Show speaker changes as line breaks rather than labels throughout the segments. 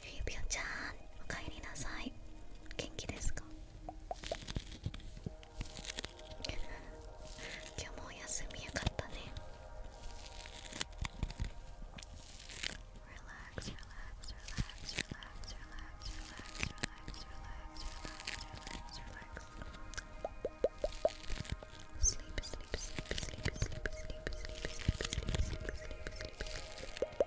指輪ちゃんおかえりなさい元気ですか今日もお休みよかったね relax, relax, relax, relax, relax, relax, relax, relax, relax. Sleep, sleep, sleep, sleep, sleep, sleep, sleep, sleep, sleep, sleep, sleep, sleep, sleep.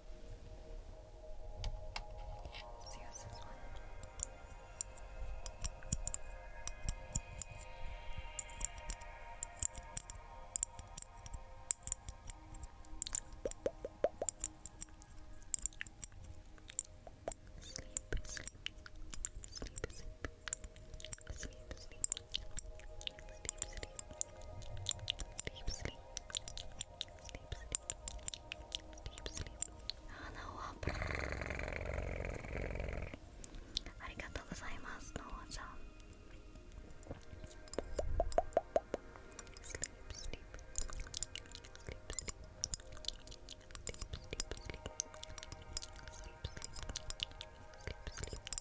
Let's use this one. Sleep, sleep, sleep, sleep, sleep, sleep, sleep, sleep. Deep sleep. Sleep, sleep. Deep sleep. 鼻はブルルルルルありがとうございます、のおちゃん。Sleep, sleep. Sleep, sleep. Sleep, sleep, sleep. Sleep, sleep. Sleep, sleep.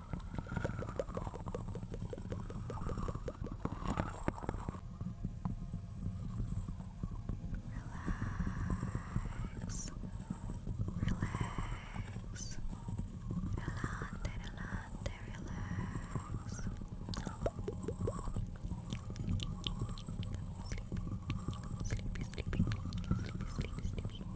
Relax. Relax. Relante, relante, relax. Sleepy, sleepy, sleepy, sleepy, sleepy, sleepy.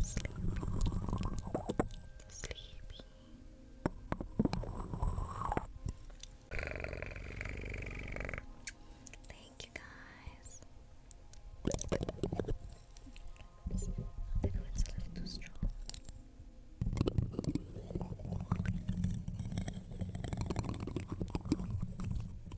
sleepy, sleepy. Thank you guys. I know it's a little too strong.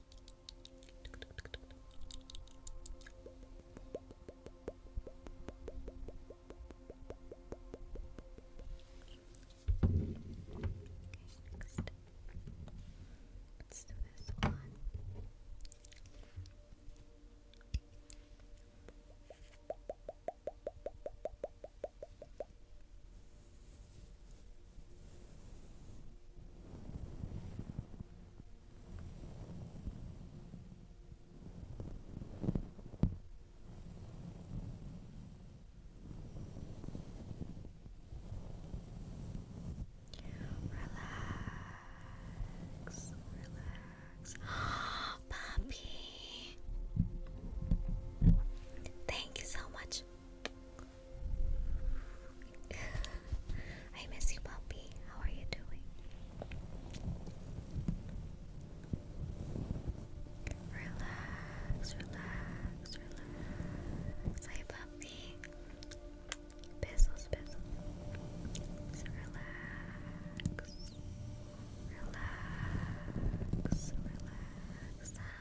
next. Let's do this one. Relax, relax. Oh, Poppy, thank you so much I miss you, puppy. How are you doing? Relax, relax, relax. Hi, puppy. Pizzles, pizzles. Relax. Relax, relax.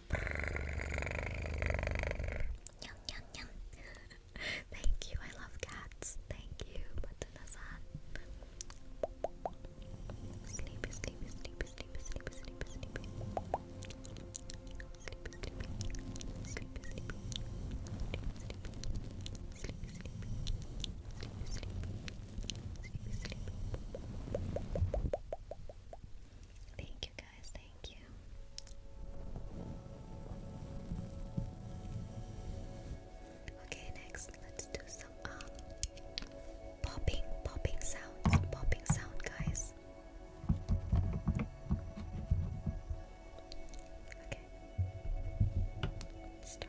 Yum, yum, yum. Thank you, I love cats. Thank you, Matana-san. Sleepy, sleepy, sleepy, sleepy, sleepy, sleepy, sleepy. Sleepy, sleepy. Sleepy, sleepy. Sleepy, sleepy. Sleepy, sleepy. Sleepy, sleepy. Thank you guys, thank you. Okay, next let's do some um popping, popping sounds, popping sound guys. Okay. Start.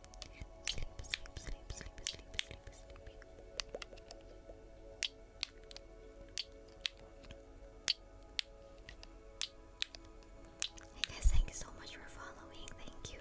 Hey guys, thank you so much for following. Thank you.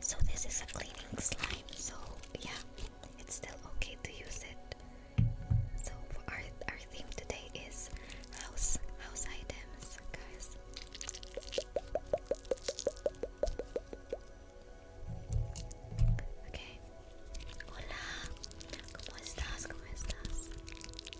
So this is a cleaning slime, so yeah, it's still okay to use it. So our our theme today is house house items, guys. Okay. Hola.